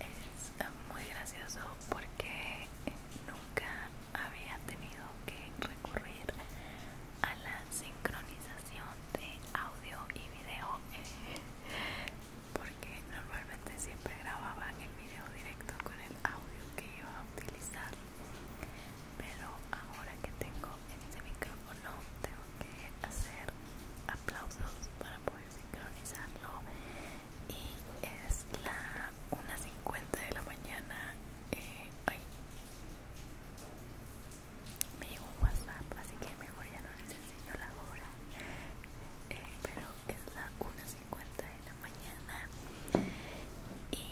Es muy gracioso porque nunca había tenido que recurrir a la sincronización de audio y video porque normalmente siempre grababa el video directo con el audio que iba a utilizar pero ahora que tengo este micrófono tengo que hacer aplausos para poder sincronizarlo y es la 1.50 de la mañana eh, me llegó un whatsapp así que mejor ya no les enseño la hora eh, pero es la 1.50 de la mañana y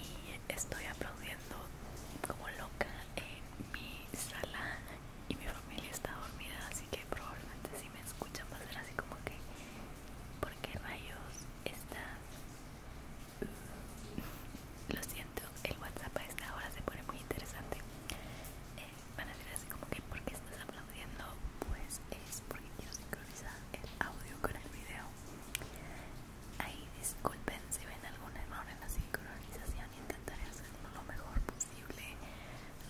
estoy aplaudiendo como loca en mi sala y mi familia está dormida así que probablemente si me escuchan va a ser así como que ¿por qué rayos estás? lo siento el whatsapp a esta hora se pone muy interesante eh, van a decir así como que ¿por qué estás aplaudiendo? pues es porque quiero sincronizar el audio con el video ahí disculpen si ven algún error en la sincronización intentaré hacerlo lo mejor posible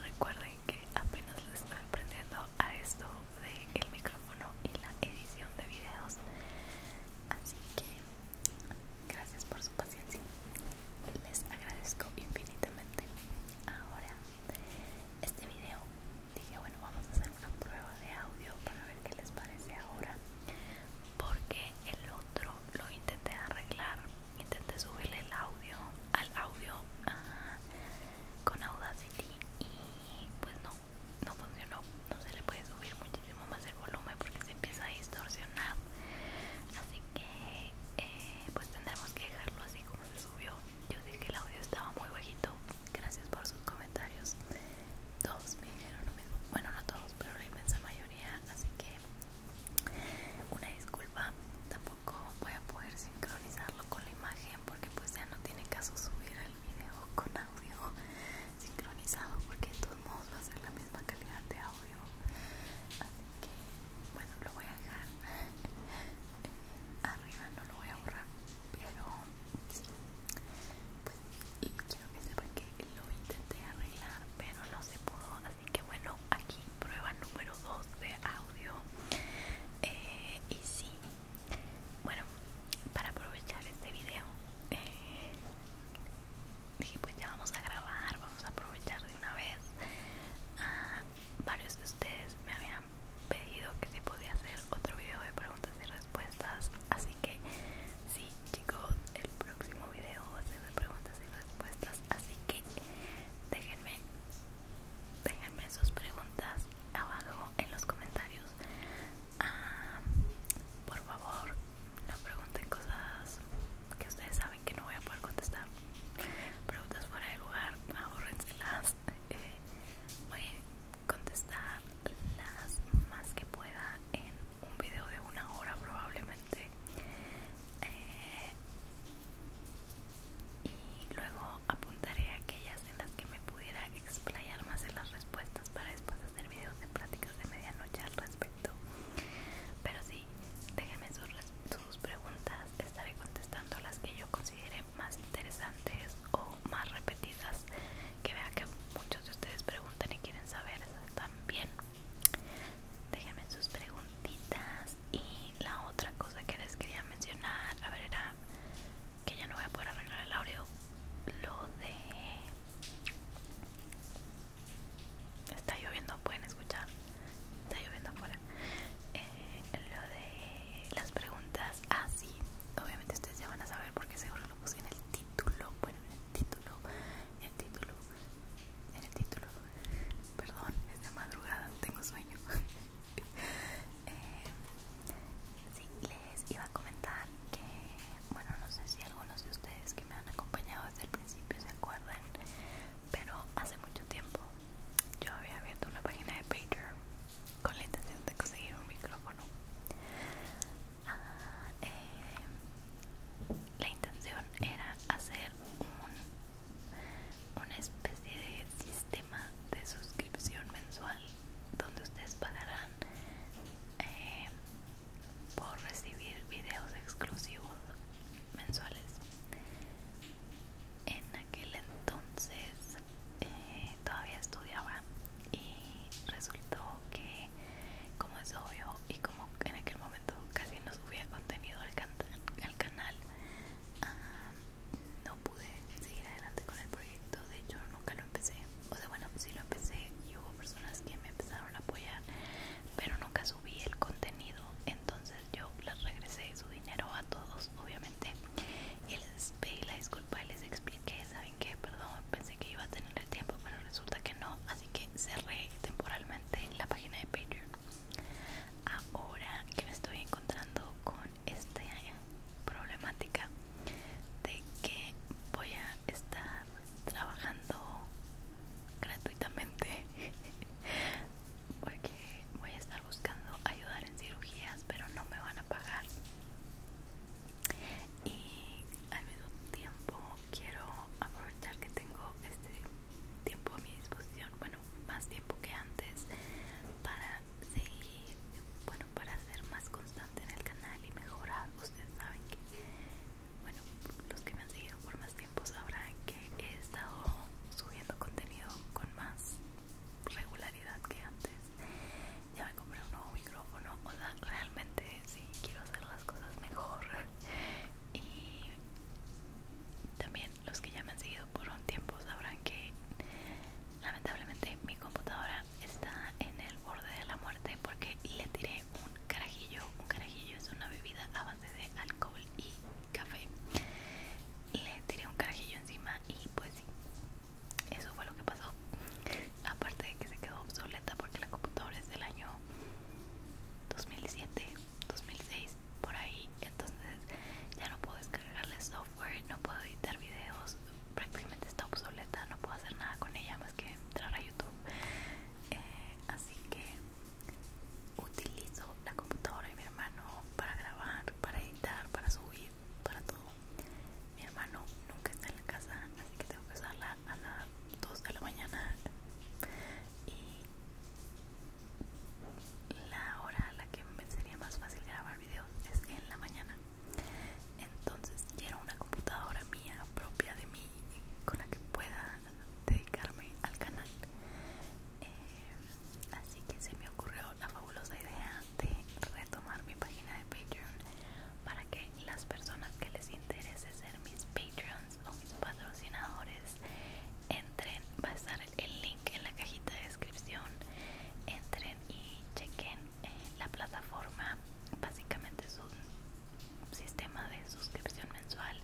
Recuerden que apenas les estoy aprendiendo a esto del micrófono y la edición de videos. Así que gracias por su paciencia. Les agradezco infinitamente. Ahora, este video dije, bueno, vamos a hacer una prueba de audio para ver qué les parece ahora porque el otro lo intenté arreglar intenté subirle el audio al audio ah, con Audacity y pues no no funcionó no se le puede subir muchísimo más el volumen porque se empieza a distorsionar así que eh, pues tendremos que dejarlo así como se subió yo dije que el audio estaba muy bajito gracias por sus comentarios todos me dijeron lo mismo bueno no todos pero la inmensa mayoría así que eh, una disculpa tampoco voy a poder sincronizarlo con la imagen porque pues ya no tiene caso subir el video con audio sincronizado porque de todos modos va a ser la misma calidad de audio así que bueno lo voy a dejar eh, arriba no lo voy a borrar pero pues, y quiero que sepan que lo intenté arreglar pero no se pudo así que bueno aquí prueba número 2 de audio eh, y sí bueno para aprovechar este video eh, dije pues ya vamos a grabar vamos a aprovechar de una vez ah, varios de ustedes me habían pedido que se podía hacer otro video de preguntas y respuestas así que sí chicos el próximo video va a ser de preguntas y respuestas así que déjenme déjenme sus preguntas abajo en los comentarios ah, por favor no pregunten cosas que ustedes saben que no voy a poder contestar preguntas fuera de lugar ahorrenselas eh, voy a contestar las más que pueda en un video de una hora probablemente eh, y luego apuntaré aquellas en las que me pudiera explayar más en las respuestas para después hacer videos de prácticas de medianoche al respecto pero sí déjenme sus preguntas estaré contestando las que yo considere más interesantes o más repetidas que vea que muchos de ustedes preguntan y quieren saber también déjenme sus preguntitas y la otra cosa que les quería mencionar a ver era que ya no voy a poder arreglar el audio lo de está lloviendo pueden escuchar está lloviendo afuera eh, lo de las preguntas así ah, obviamente ustedes ya van a saber porque seguro lo en el título, bueno, en el título, en el título, en el título, perdón, es de madrugada, tengo sueño. Eh, sí, les iba a comentar que, bueno, no sé si algunos de ustedes que me han acompañado desde el principio se acuerdan, pero hace mucho tiempo yo había abierto una página de Patreon con la intención de conseguir un micrófono eh, la intención era hacer una especie de sistema de suscripción mensual donde ustedes pagarán eh, por recibir videos exclusivos mensuales en aquel entonces eh, todavía estudiaba y resultó que como es obvio y como en aquel momento casi no subía contenido al, canal ah, no pude seguir adelante con el proyecto de hecho nunca lo empecé o sea bueno si lo empecé y hubo personas que me empezaron a apoyar pero nunca subí el contenido entonces yo les regresé su dinero a todos obviamente y les pedí la disculpa y les expliqué esa que Perdón, pensé que iba a tener el tiempo, pero resulta que no, así que cerré temporalmente la página de Patreon. Ahora que me estoy encontrando con esta problemática de que voy a estar trabajando gratuitamente porque voy a estar buscando ayudar en cirugías pero no me van a pagar y al mismo tiempo quiero aprovechar que tengo este tiempo a mi disposición bueno más tiempo que antes para seguir bueno para ser más constante en el canal y mejorar ustedes saben que bueno los que me han seguido por más tiempo sabrán que he estado subiendo contenido con más regularidad que antes ya me compré un nuevo micrófono, o sea, realmente sí quiero hacer las cosas mejor. Y también los que ya me han seguido por un tiempo sabrán que lamentablemente mi computadora está en el borde de la muerte porque le tiré un carajillo. Un carajillo es una bebida a base de alcohol y café. Le tiré un carajillo encima y pues sí, eso fue lo que pasó aparte de que se quedó obsoleta porque la computadora es del año 2007 2006 por ahí entonces ya no puedo descargarle software no puedo editar videos prácticamente está obsoleta no puedo hacer nada con ella más que entrar a youtube eh, así que utilizo la computadora de mi hermano para grabar para editar para subir para todo. Mi hermano nunca está en la casa, así que tengo que usarla a las 2 de la mañana. Y la hora a la que me sería más fácil grabar videos es en la mañana. Entonces quiero una computadora mía propia de mí con la que pueda dedicarme al canal eh, así que se me ocurrió la fabulosa idea de retomar mi página de Patreon para que las personas que les interese ser mis Patreons o mis patrocinadores entren, va a estar el link en la cajita de descripción entren y chequen eh, la plataforma básicamente es un sistema de suscripción mensual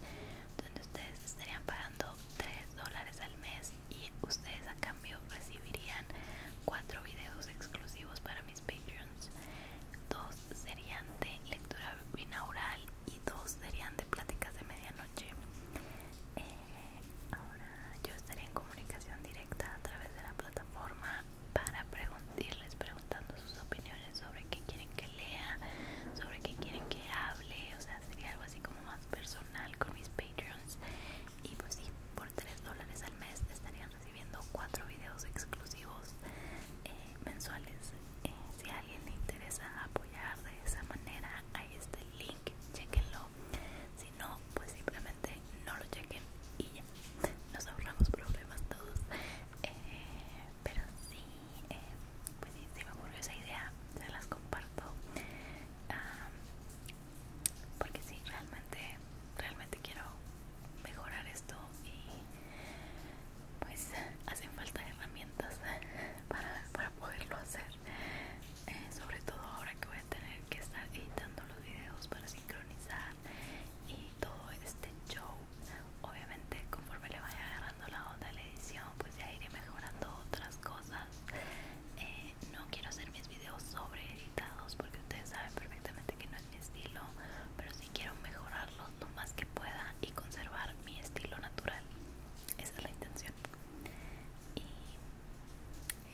donde ustedes estarían pagando 3 dólares al mes y ustedes a cambio recibirían cuatro videos exclusivos para mis Patreons. Dos serían de lectura binaural y dos serían de pláticas de medianoche. Eh, ahora yo estaría en comunicación directa a través de la plataforma para preguntarles, preguntando sus opiniones sobre qué quieren que lea, sobre qué quieren que hable, o sea, sería algo así como más personal con mis Patreons y pues sí, por 3 dólares al mes estarían recibiendo 4 videos exclusivos eh, mensuales eh, si alguien le interesa apoyar de esa manera ahí está link, chequenlo si no, pues simplemente no lo chequen y ya nos ahorramos problemas todos eh, pero sí, eh, pues si me ocurrió esa idea, se las comparto porque si, realmente, realmente quiero mejorar esto y pues hacen falta herramientas para, poderlo hacer eh, sobre todo ahora que voy a tener que estar editando los videos para sincronizar y todo este show obviamente conforme le vaya agarrando la onda a la edición pues ya iré mejorando otras cosas eh, no quiero hacer mis videos sobre editados porque ustedes saben perfectamente que no es mi estilo, pero sí quiero mejorarlos lo más que pueda y conservar mi estilo natural. Esa es la intención.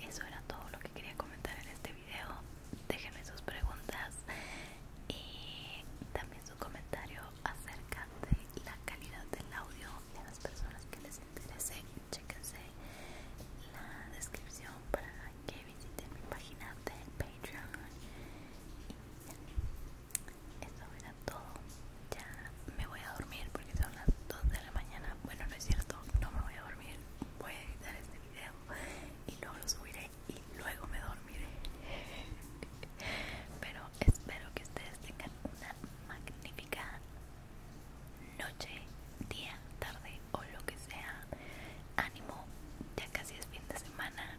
Y eso era todo lo que quería comentar en este video. Déjenme sus preguntas y también sus comentarios acerca de la calidad del audio y a las personas que les interese, Chequense la descripción para que visiten mi página de Patreon. Y eso era todo. Ya me voy a dormir porque son las 2 de la mañana. Bueno, no es cierto, no me voy a dormir. Voy a editar este video y luego lo subiré y luego me dormiré. Pero espero que ustedes tengan una magnífica noche, día, tarde o lo que sea. Ánimo, ya casi es fin de semana.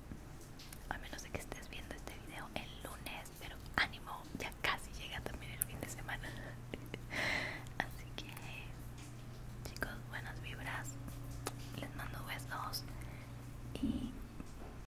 A menos de que estés viendo este video el lunes, pero ánimo, ya casi llega también el fin de semana. Así que, chicos, buenas vibras. Les mando besos y